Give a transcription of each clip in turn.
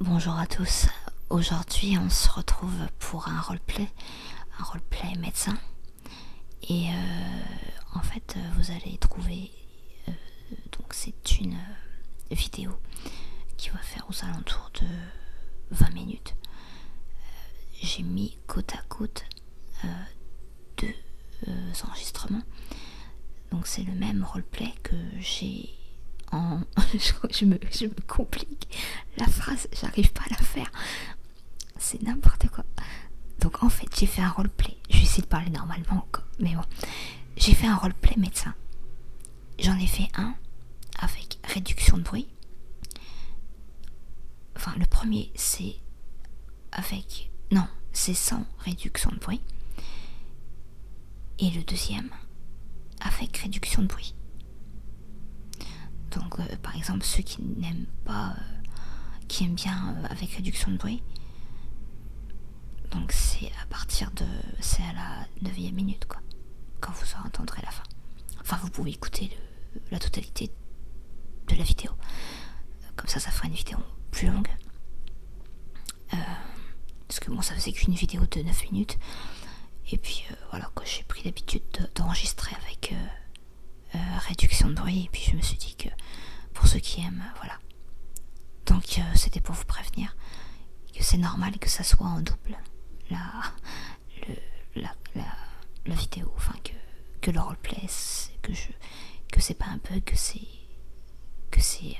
Bonjour à tous. Aujourd'hui, on se retrouve pour un roleplay, un roleplay médecin. Et euh, en fait, euh, vous allez trouver. Euh, donc, c'est une vidéo qui va faire aux alentours de 20 minutes. J'ai mis côte à côte deux enregistrements. Donc, c'est le même roleplay que j'ai en. je, me, je me complique la phrase, j'arrive pas à la faire c'est n'importe quoi. Donc en fait, j'ai fait un roleplay. Je vais essayer de parler normalement, mais bon. J'ai fait un roleplay médecin. J'en ai fait un avec réduction de bruit. Enfin, le premier, c'est avec... Non, c'est sans réduction de bruit. Et le deuxième, avec réduction de bruit. Donc, euh, par exemple, ceux qui qui n'aiment pas, euh, qui aime bien euh, avec réduction de bruit. Donc c'est à partir de, c'est à la 9 minute quoi, quand vous en entendrez la fin. Enfin vous pouvez écouter la totalité de la vidéo, comme ça ça fera une vidéo plus longue. Euh, parce que bon ça faisait qu'une vidéo de 9 minutes. Et puis voilà quoi, j'ai pris l'habitude d'enregistrer avec, euh, réduction de bruit Et puis je me suis dit que pour ceux qui aiment, euh, voilà. Donc euh, c'était pour vous prévenir que c'est normal que ça soit en double la, le, la, la, vidéo, enfin que, que le roleplay, que je que c'est pas un peu que c'est que c'est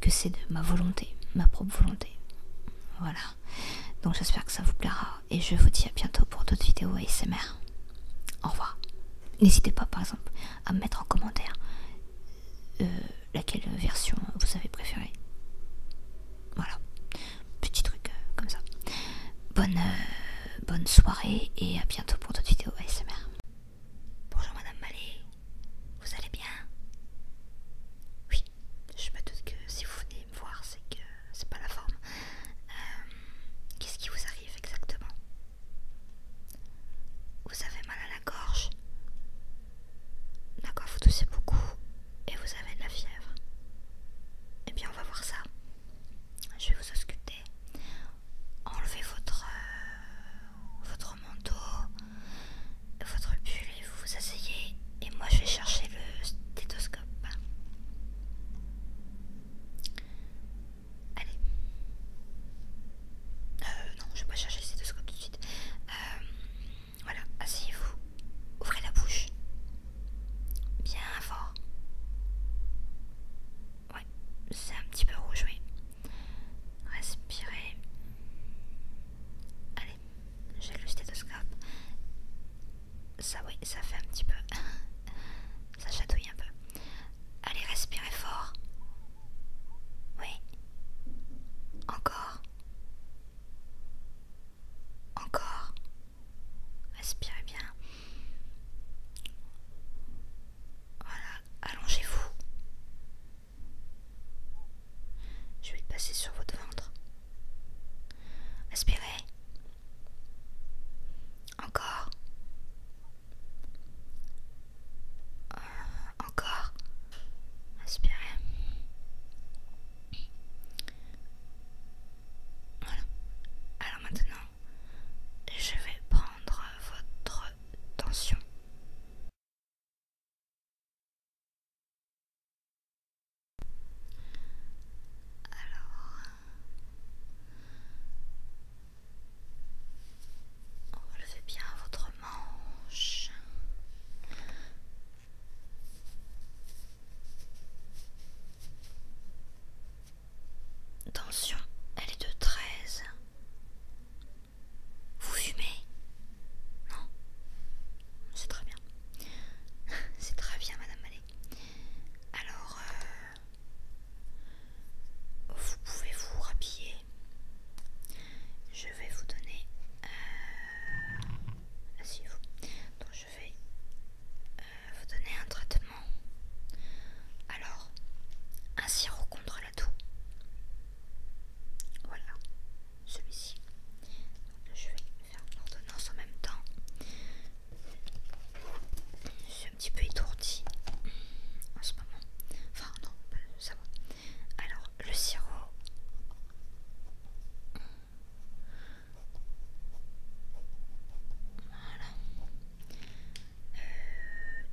que c'est de ma volonté, ma propre volonté. Voilà. Donc j'espère que ça vous plaira et je vous dis à bientôt pour d'autres vidéos ASMR. Au revoir. N'hésitez pas par exemple à me mettre en commentaire euh, laquelle version vous avez préférée. Voilà, petit truc euh, comme ça. Bonne, euh, bonne soirée et à bientôt pour d'autres vidéos ASMR. Bonjour Madame Malé, vous allez bien Oui, je me doute que si vous venez me voir, c'est que c'est pas la forme. Euh, qu'est-ce qui vous arrive exactement Vous avez mal à la gorge D'accord, vous toussez beaucoup et vous avez de la fièvre. Eh bien, on va voir ça. Je vais vous ausculter. Enlevez votre, euh, votre manteau, votre pull et vous vous asseyez. Et moi, je vais chercher le stéthoscope. Allez. Euh, non, je vais pas chercher le stéthoscope tout de suite. Euh, voilà, asseyez-vous. Ouvrez la bouche. Bien fort. Ouais, c'est un petit peu rouge, mais... Respirez. Allez, j'ai le stéthoscope. Ça oui, ça fait un petit peu. ça chatouille un peu. Allez, respirez fort. Oui. Encore. Encore. Respirez bien. Voilà, allongez-vous. Je vais passer sur votre ventre. Inspirez, Encore. Euh, encore. inspirez, Voilà. Alors maintenant, je vais prendre votre tension. Alors, relevez bien votre manche. Tension, elle est de 13. Vous fumez Non C'est très bien. C'est très bien, Madame Mallet. Alors, euh, vous pouvez vous rhabiller. Je vais vous donner. Euh, vous je vais euh, vous donner un traitement. Alors, un sirop contre la toux. Voilà, celui-ci. Je vais faire l'ordonnance en même temps. Je suis un petit peu étourdie en ce moment. Enfin non, ça va. Alors le sirop. Voilà. Euh,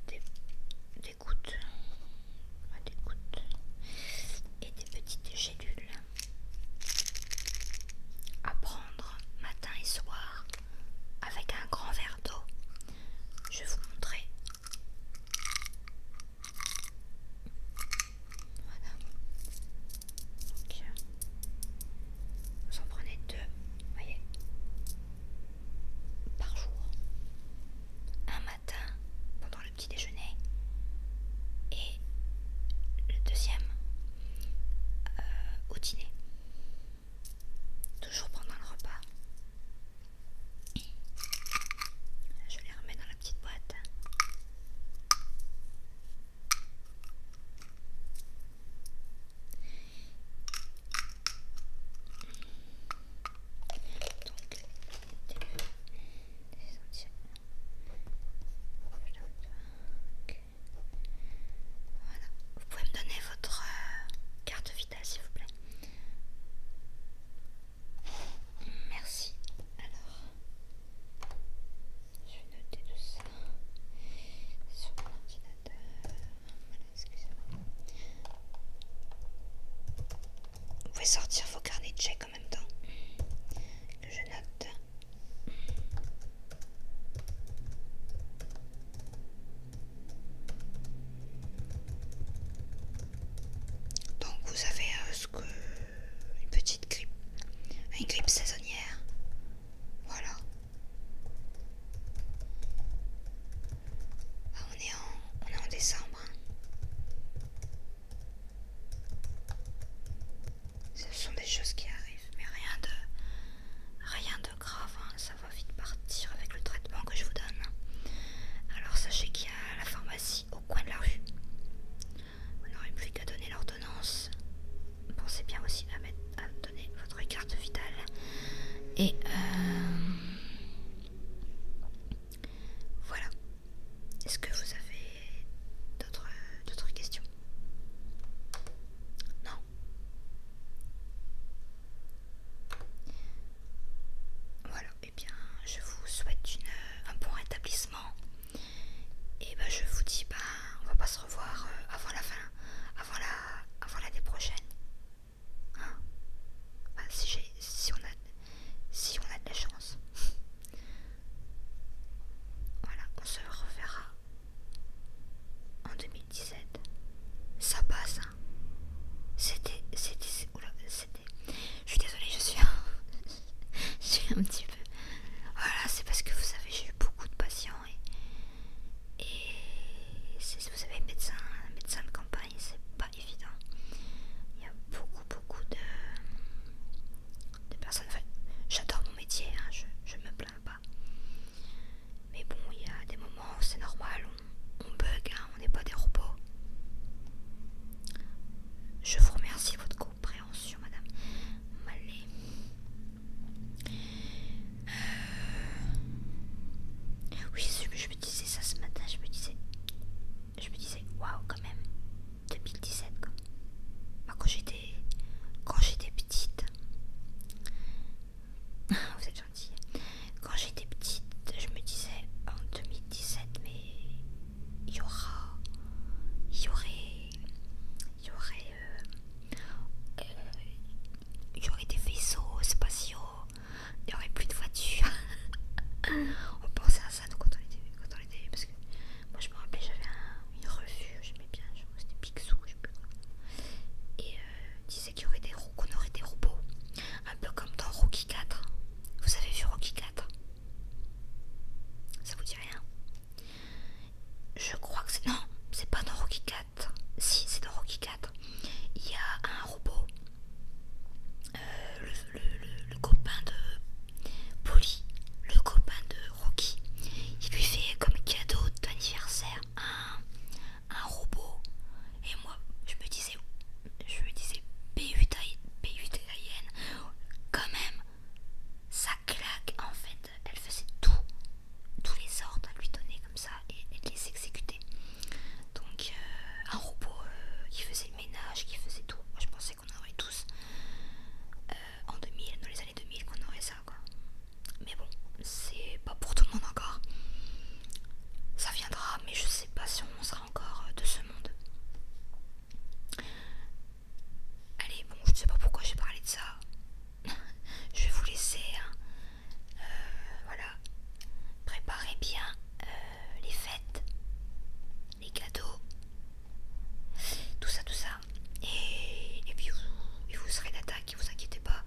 des, des gouttes. Des gouttes. Et des petites gélules à prendre matin et soir avec un grand verre d'eau. Je vais vous montrer. Voilà. ok vous en prenez deux, voyez, par jour. Un matin pendant petit déjeuner et le deuxième euh, au dîner. Toujours pendant le repas. Je les remets dans la petite boîte. Donc, voilà. Vous pouvez me donner votre euh, carte vitale s'il vous plaît. Merci. Alors, je vais noter tout ça sur mon ordinateur. Voilà, excusez-moi. Vous pouvez sortir vos carnets de chèques en même temps que je note. Donc vous avez euh, ce que une petite grippe, une grippe saisonnière, voilà. Ah, on est en, décembre. Hein. Ce sont des choses qui arrivent, mais rien de, rien de grave, hein. ça va vite partir avec le traitement que je vous donne. Alors sachez qu'il y a la pharmacie au coin de la rue. Vous n'aurez plus qu'à donner l'ordonnance. Pensez bien aussi à, mettre, donner votre carte vitale. Et euh, voilà. Est-ce que vous avez d'autres questions Non Voilà, et eh bien je vous souhaite un bon rétablissement. Et ben je vous dis, ben, on va pas se revoir euh, avant la fin, avant l'année prochaine. Hein ben, si on a si on a de la chance. Voilà, on se reverra en 2017. Ça passe, hein. C'était, c'était, c'était. Je suis désolée, je suis, je suis un petit peu. Voilà, c'est parce que vous savez, j'ai eu beaucoup de patients et, si vous savez, médecin, médecin de campagne, c'est pas, évident. Il y a beaucoup, beaucoup de, personnes. Enfin, j'adore mon métier, hein, je, je me plains pas. Mais bon, il y a des moments où c'est normal, on, bug, hein, on n'est pas des robots. Je vous remercie de votre compréhension, madame malé euh, Oui, je me disais ça ce matin, je me disais je me disais waouh quand même 2017 bah, quand j'étais quand j'étais petite vous êtes gentil quand j'étais petite je me disais en 2017 mais il y aura il y aurait il y aurait euh, euh, il y aurait des vaisseaux spatiaux il n'y aurait plus de voiture. on pensait à ça quand on était quand on était parce que moi je me rappelais j'avais une revue, j'aimais bien, c'était Picsou, je sais plus quoi. Et ils euh, disait qu'il y aurait des qu'on aurait des robots, un peu comme dans Rocky 4. Vous avez vu Rocky 4 Ça vous dit rien Je crois que c'est non, c'est pas dans Rocky 4. Si, c'est dans Rocky 4 il y a un robot, euh, le, copain de Polly, le copain de Rocky, il lui fait comme cadeau d'anniversaire un, robot. Et moi, je me disais, je me disais, p 8 n quand même, ça claque. En fait, elle faisait tout, tous les ordres à lui donner comme ça et, et les exécuter. Donc euh, un robot euh, qui faisait le ménage, qui faisait tout. Moi je pensais qu'on aurait tous euh, en 2000, dans les années 2000 qu'on aurait ça quoi. Mais bon, c'est pas pour tout le monde encore. Ça viendra, mais je sais pas si on sera encore de ce monde. Allez, bon, je ne sais pas pourquoi j'ai parlé de ça. je vais vous laisser. Hein. Euh, voilà. Préparez bien euh, les fêtes, les cadeaux, tout ça, tout ça. Et, puis vous, vous serez d'attaque, vous inquiétez pas.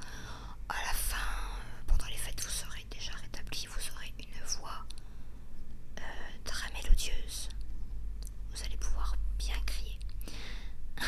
À la fin, euh, pendant les fêtes, vous serez déjà rétabli, vous aurez une voix très mélodieuse. Vous allez pouvoir bien crier.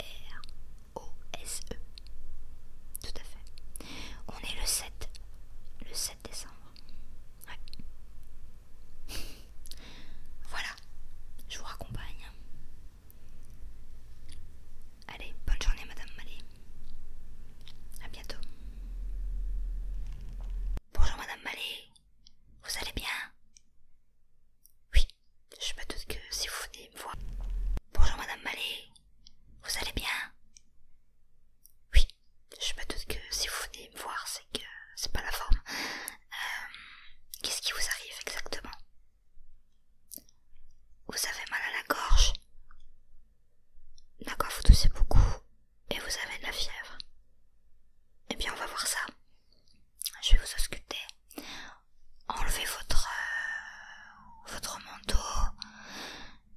R-O-S-E. Tout à fait. On est le 7. Le 7 décembre. Ouais. voilà. Je vous raccompagne. Allez, bonne journée Madame Malé A bientôt. Bonjour Madame Malé Vous allez bien Oui, je me doute que si vous venez me voir... Bonjour Madame Mallet, vous allez bien Oui, je me doute que si vous venez me voir, c'est que c'est pas la forme. Euh, qu'est-ce qui vous arrive exactement Vous avez mal à la gorge D'accord, vous toussez beaucoup et vous avez de la fièvre. Eh bien, on va voir ça. Je vais vous ausculter enlevez votre, euh, votre manteau,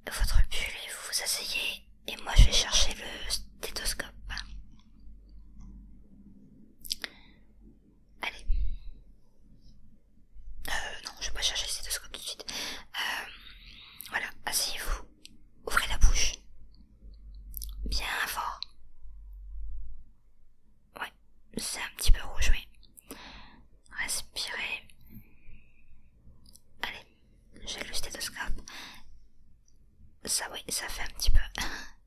votre pull et vous vous asseyez et moi je vais chercher le stéthoscope. Allez. Euh, non, je vais pas chercher le stéthoscope tout de suite. Euh, voilà, asseyez-vous, ouvrez la bouche. Bien fort. Oui, c'est un petit peu rouge, oui. Respirez. Allez, j'ai le stéthoscope. Ça, oui, ça fait un petit peu.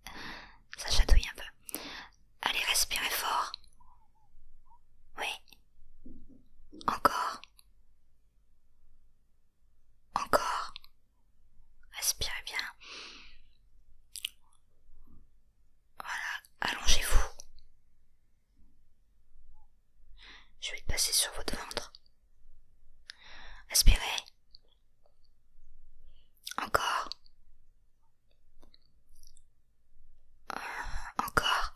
ça chatouille un peu. Allez, respirez fort. Oui. Encore. Encore. Respirez bien. Voilà, allongez-vous. Je vais passer sur votre ventre. Aspirez. Encore. Euh, encore.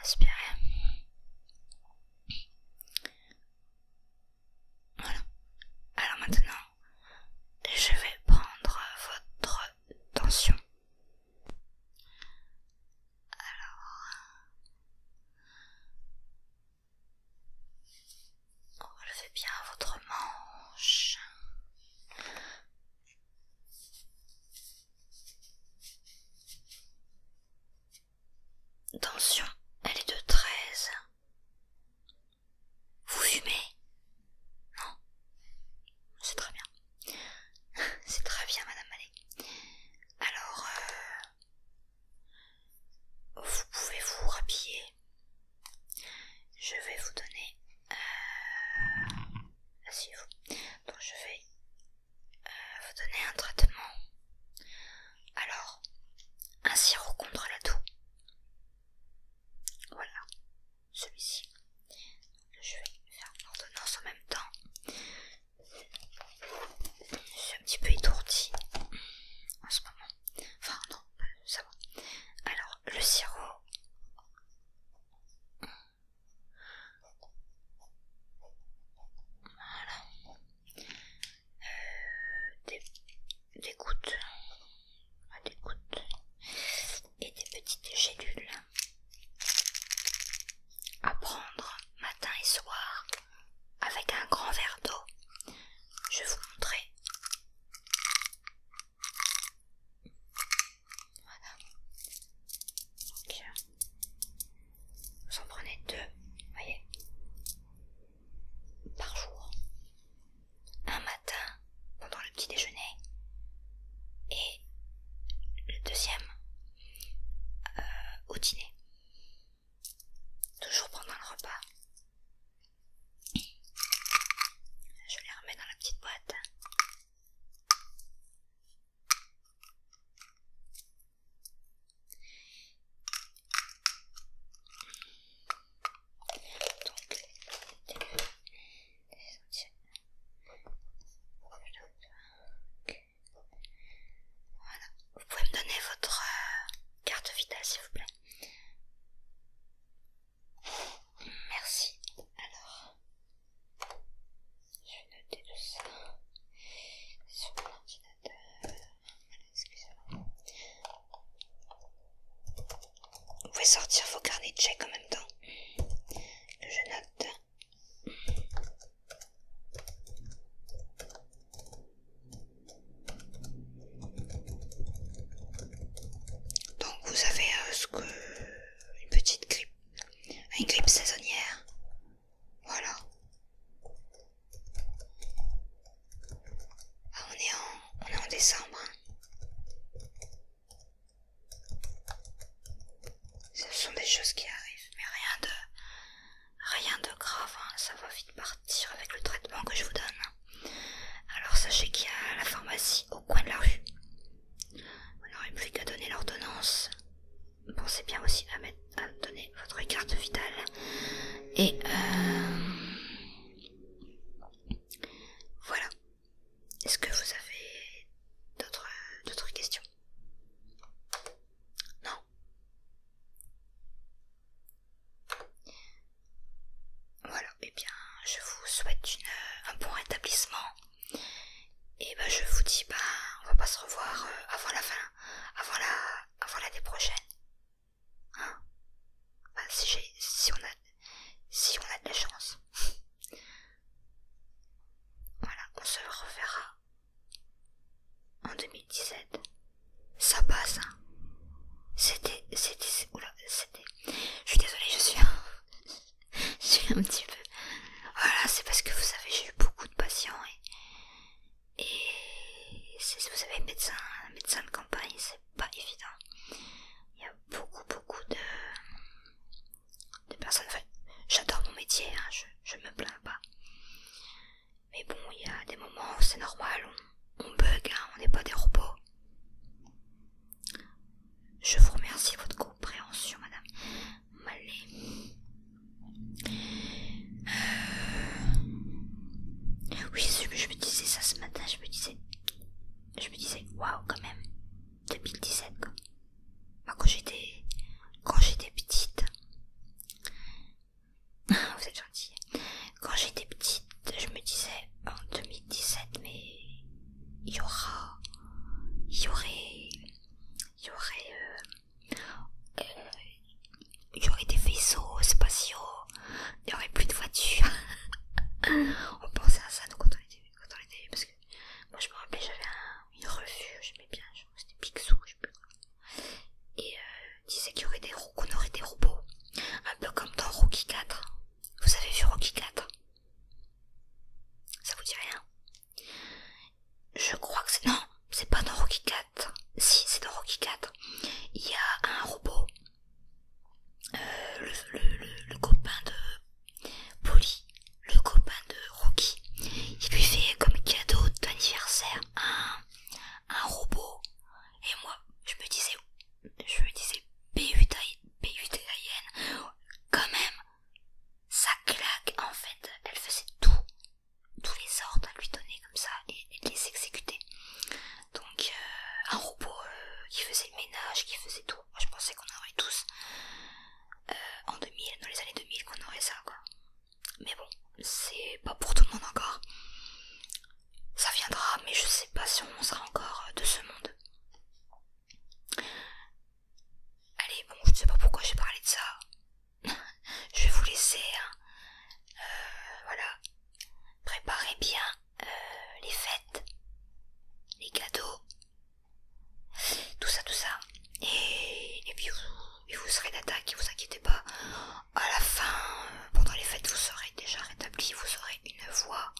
Aspirez. Voilà. Alors maintenant, et je vais prendre votre tension. Alors, relevez bien votre manche. Tension, elle est de 13. Vous fumez Non C'est très bien. C'est très bien, Madame Mallet. Alors, euh, vous pouvez vous rhabiller. Je vais vous donner... Euh, asseyez-vous. je vais euh, vous donner un traitement. Alors, un sirop contre la toux. Voilà, celui-ci. Je vais faire l'ordonnance en même temps. Je suis un petit peu étourdie en ce moment. Enfin non, euh, ça va. Alors, le sirop. Voilà. Euh, des gouttes, ah, et des petites gélules à prendre matin et soir avec un grand verre d'eau. Je vais vous montrer. Donc, euh, vous en prenez deux, voyez par jour. Un matin pendant le petit déjeuner et le deuxième euh, au dîner. Toujours pendant le repas. Je les remets dans la petite boîte voilà vous pouvez me donner votre euh, carte vitale s'il vous plaît merci alors je vais noter tout ça sur mon ordinateur vous pouvez sortir vos carnets de chèques en même temps je note. Donc vous avez euh, ce que une petite grippe, une grippe saisonnière. Voilà. Ah, on est en, décembre. Hein. Ce sont des choses qui arrivent, mais rien de, rien de grave. Hein. Ça va vite partir avec le traitement que je vous donne. Hein. Alors sachez qu'il y a la pharmacie au coin de la rue. Vous n'aurez plus qu'à donner l'ordonnance. Pensez bien aussi à, mettre, à donner votre carte vitale et euh, voilà. Est-ce que vous avez d'autres questions Non Voilà, et eh bien je vous souhaite un bon rétablissement. Et ben je vous dis, ben, on va pas se revoir euh, avant la fin, avant la, avant l'année prochaine. Bah, si, on a, si on a de la chance. voilà, on se reverra en 2017. Ça passe, hein. C'était, c'était, oula, c'était. Je suis désolée, je suis, je suis un petit peu. Voilà, c'est parce que vous savez, j'ai eu beaucoup de patients et et si vous avez un médecin, médecin de campagne, c'est pas évident. Il y a beaucoup, beaucoup de, de personnes. Enfin, j'adore mon métier, hein, je, je me plains pas. Mais bon, il y a des moments où c'est normal, on, bug, hein, on n'est pas des robots. Je vous remercie de votre compréhension, madame. Malé. Euh, oui, je me disais ça ce matin, je me disais. Je me disais, waouh quand même, 2017 quoi. quand j'étais. Quand j'étais petite. Vous êtes gentil. Quand j'étais petite, je me disais en 2017, mais il y aura. Il y aurait. Il y aurait. Euh, euh, il y aurait des vaisseaux spatiaux, il n'y aurait plus de voitures. on pensait à ça quand on était, quand on était parce que moi je me rappelle j'avais un, une revue, j'aimais bien, c'était Picsou, je sais plus Et euh, disait qu'il y aurait des qu'on aurait des robots, un peu comme dans Rocky 4. Vous avez vu Rocky 4 Ça vous dit rien Je crois que c'est non, c'est pas dans Rocky 4. Si, c'est dans Rocky 4. Il y a un robot. Euh, le, copain de Polly, le copain de Rocky, il lui fait comme cadeau d'anniversaire un, robot. Et moi, je me disais, je me disais, n quand même, ça claque en fait. Elle faisait tout, tous les ordres à lui donner comme ça et, de les exécuter. Donc euh, un robot euh, qui faisait le ménage, qui faisait tout. je pensais qu'on aurait tous euh, en 2000, dans les années 2000, qu'on aurait ça quoi. Mais bon, c'est pas pour tout le monde encore. Ça viendra, mais je sais pas si on sera encore de ce monde. Allez, bon, je ne sais pas pourquoi j'ai parlé de ça je vais vous laisser. Hein. Euh, voilà. Préparez bien euh, les fêtes, les cadeaux, tout ça, tout ça. Et, vous, serez d'attaque, vous inquiétez pas. À la fin, euh, pendant les fêtes, vous serez déjà rétabli, vous aurez une voix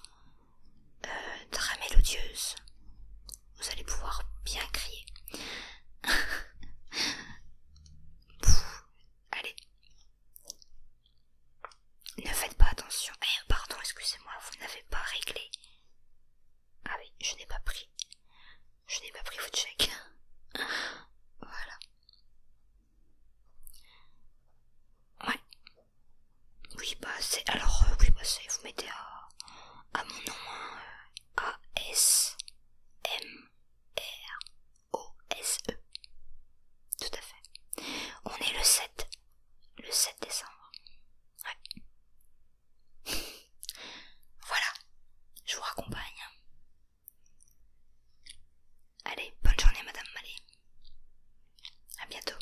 très mélodieuse vous allez pouvoir bien crier. allez. Ne faites pas attention. Eh, pardon, excusez-moi, vous n'avez pas réglé. Ah oui, je n'ai pas pris. Je n'ai pas pris votre chèque. voilà. Ouais. Oui, bah c'est... Alors, euh, oui, bah c'est... Vous mettez à, à mon nom, hein, euh, a-S-M-R-O-S-E. Tout à fait. On est le 7. Le 7 décembre. Ouais. voilà. Je vous raccompagne. Allez, bonne journée Madame Malé. A bientôt.